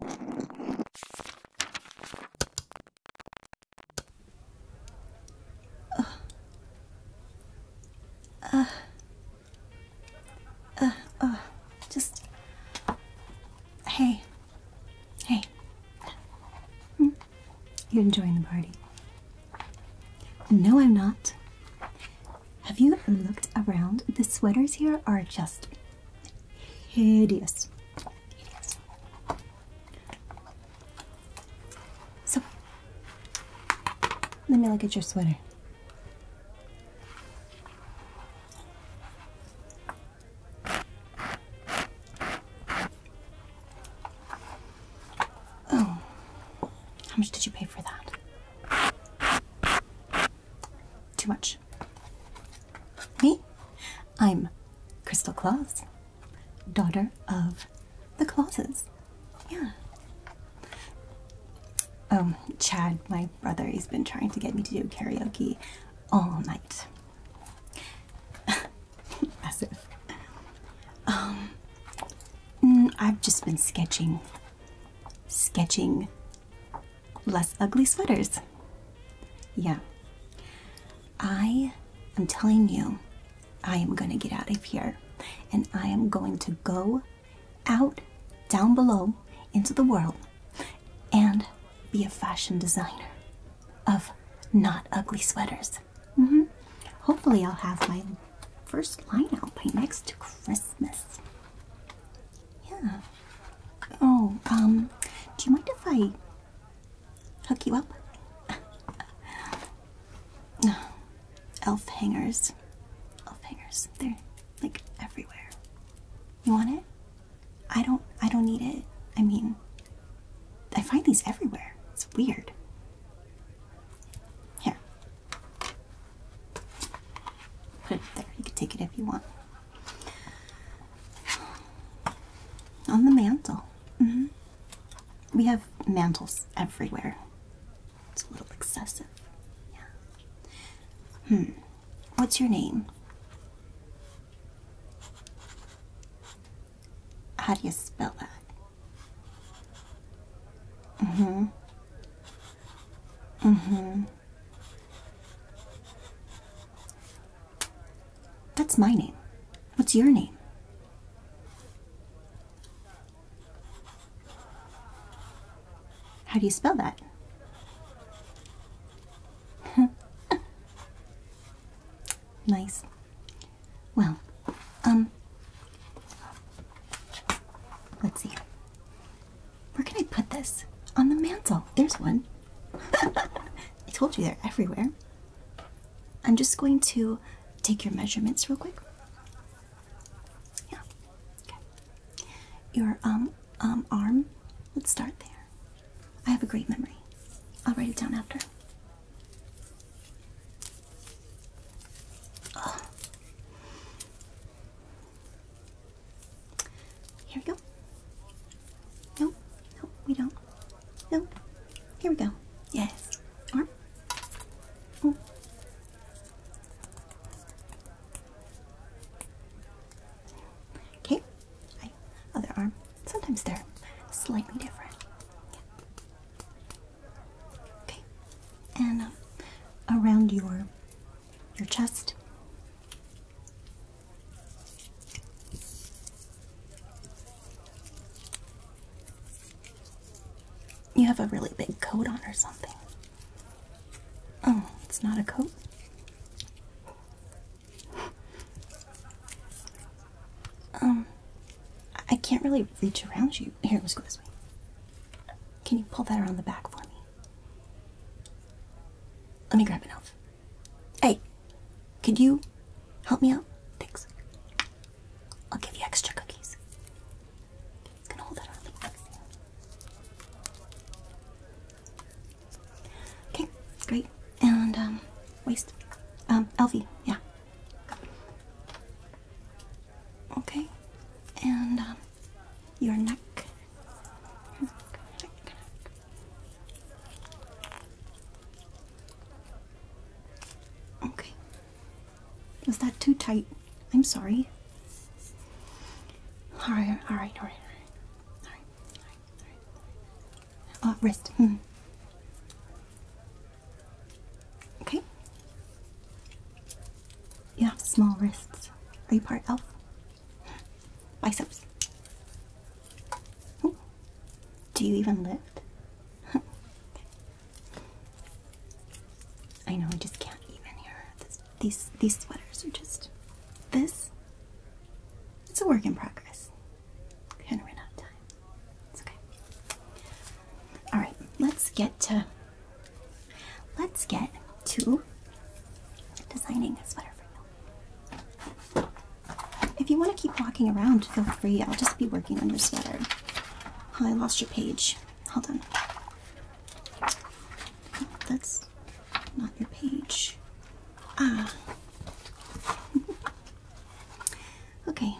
Uh, uh, uh, just, hey, hey, you're enjoying the party. No, I'm not. Have you looked around? The sweaters here are just hideous. So, let me look at your sweater. Oh, how much did you pay for that? Too much. Me? I'm Crystal Claus, daughter of the Clauses. Yeah. Um, Chad, my brother, he's been trying to get me to do karaoke all night. Massive. Um, mm, I've just been sketching. Sketching less ugly sweaters. Yeah. I am telling you, I am going to get out of here and I am going to go out down below into the world and be a fashion designer of not ugly sweaters. Mm-hmm. Hopefully, I'll have my first line out by next Christmas. Yeah. Oh, um, do you mind if I hook you up? elf hangers. Elf hangers. They're like everywhere. You want it? I don't I don't need it. I mean I find these everywhere. It's weird. Here. Put it there. You can take it if you want. On the mantle. Mm-hmm. We have mantles everywhere. It's a little excessive. Hmm. What's your name? How do you spell that? Mm hmm Mm-hmm. That's my name. What's your name? How do you spell that? nice. Well, um, let's see. Where can I put this? On the mantle. There's one. I told you they're everywhere. I'm just going to take your measurements real quick. Yeah. Okay. Your um um arm. Let's start there. I have a great memory. I'll write it down after. Here we go. No, no, we don't. No. Here we go. Yes. Okay. Other arm. Sometimes they're slightly different. Okay. And uh, around your your chest. You have a really big coat on or something. Oh, it's not a coat. Um, I can't really reach around you. Here, let's go this way. Can you pull that around the back for me? Let me grab an elf. Hey, could you help me out? Thanks. I'll give you extra cookies. gonna hold that out the Okay, great. And um, waist. Um, Elfie, yeah. Okay. And um your neck. Okay. Was that too tight? I'm sorry. Alright, alright, alright, alright. Alright, alright, alright. Uh, oh, wrist. Mm. Okay. You have small wrists. Are you part elf? Biceps. Do you even lift? I know I just can't even here. these these sweaters are just this. It's a work in progress. We're going out of time. It's okay. All right, let's get to Let's get to designing a sweater for you. If you want to keep walking around, feel free. I'll just be working on your sweater. I lost your page. Hold on. That's not your page. Ah. okay.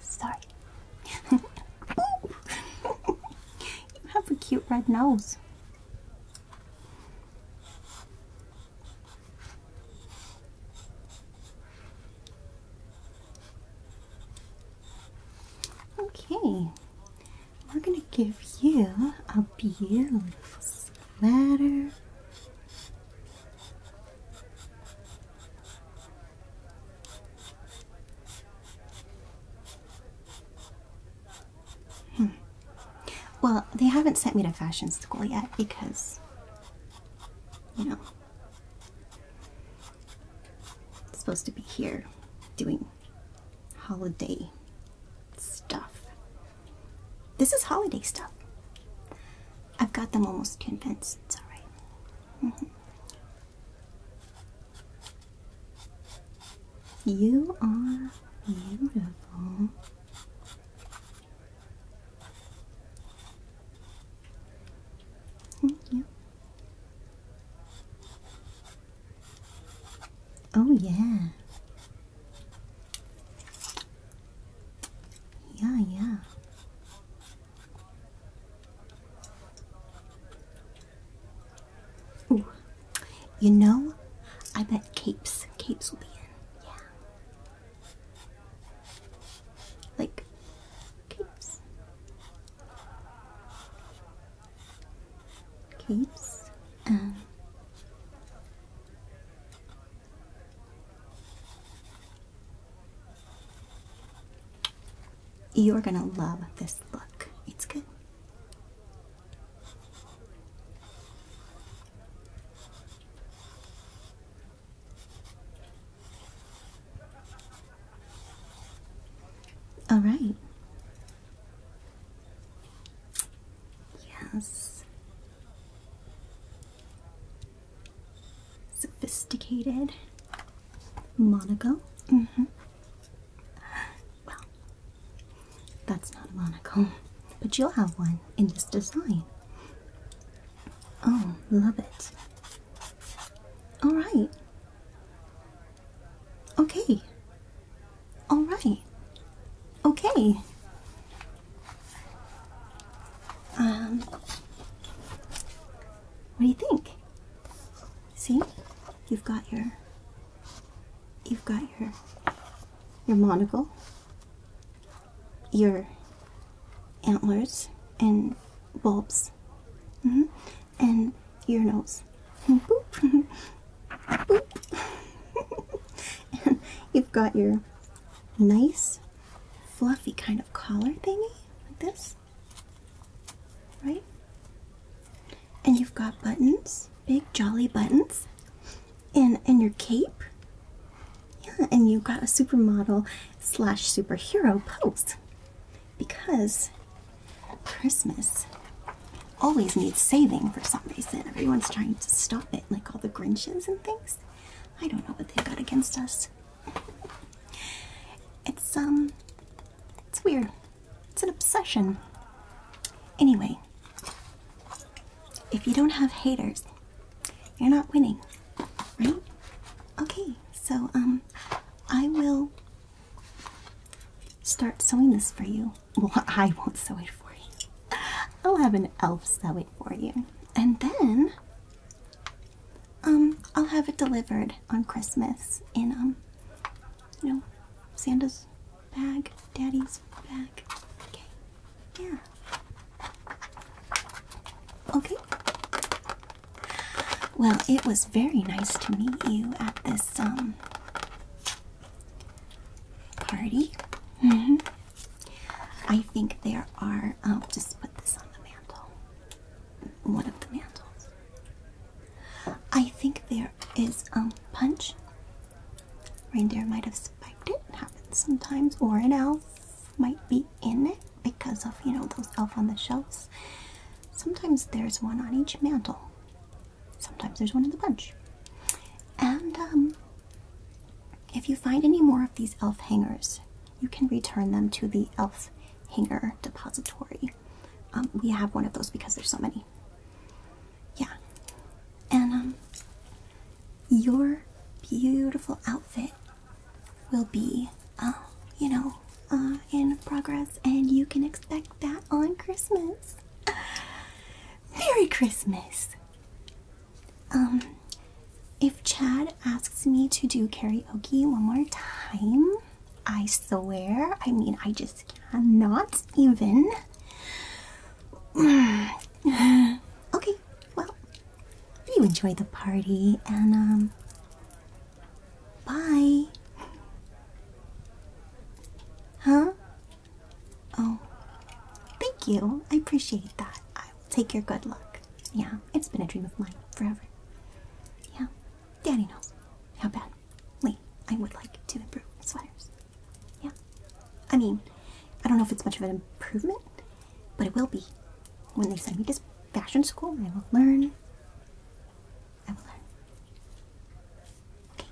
Sorry. you have a cute red nose. Okay, we're gonna give you a beautiful sweater. Hmm. Well, they haven't sent me to fashion school yet because, you know, it's supposed to be here doing holiday stuff. This is holiday stuff. I've got them almost convinced. It's alright. Mm-hmm. You are beautiful. Thank Oh, yeah. Yeah, yeah. You know, I bet capes, capes will be in. Yeah. Like capes capes um, you're gonna love this look. It's good. All right. Yes. Sophisticated monocle. -hmm. Well, that's not a monocle, but you'll have one in this design. Oh, love it. All right. Okay. All right. Okay. Um, what do you think? See, you've got your, you've got your, your monocle, your antlers and bulbs Mm-hmm. And your nose. you've got your nice, fluffy kind of collar thingy, like this. Right? And you've got buttons, big jolly buttons, and and your cape. Yeah, and you've got a supermodel slash superhero pose because Christmas always needs saving for some reason. Everyone's trying to stop it, like all the Grinches and things. I don't know what they've got against us. It's, um, it's weird. It's an obsession. Anyway, if you don't have haters, you're not winning, right? Okay, so, um, I will start sewing this for you. Well, I won't sew it for you. I'll have an elf sew it for you. And then um I'll have it delivered on Christmas in um you know Santa's bag, Daddy's bag. Okay. Yeah. Okay. Well, it was very nice to meet you at this um party. Mm-hmm. I think there are. I'll oh, just put this on the mantle. One of the mantles. I think there is um punch. Reindeer might have spiked it. Happens sometimes, or an elf might be in it because of you know those elf on the shelves sometimes there's one on each mantle sometimes there's one in the bunch and um, if you find any more of these elf hangers you can return them to the elf hanger depository um, we have one of those because there's so many yeah and um your beautiful outfit will be, uh, you know, uh, in progress, and you can expect that on Christmas. Merry Christmas! Um, if Chad asks me to do karaoke one more time, I swear, I mean, I just cannot even. okay, well, you enjoy the party, and um, Bye. Huh? Oh, thank you. I appreciate that. I will take your good luck. Yeah, it's been a dream of mine forever. Yeah, Daddy knows how bad. Wait, I would like to improve my sweaters. Yeah. I mean, I don't know if it's much of an improvement, but it will be when they send me to fashion school, I will learn. I will learn. Okay.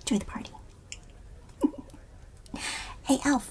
Enjoy the party. hey, Elf.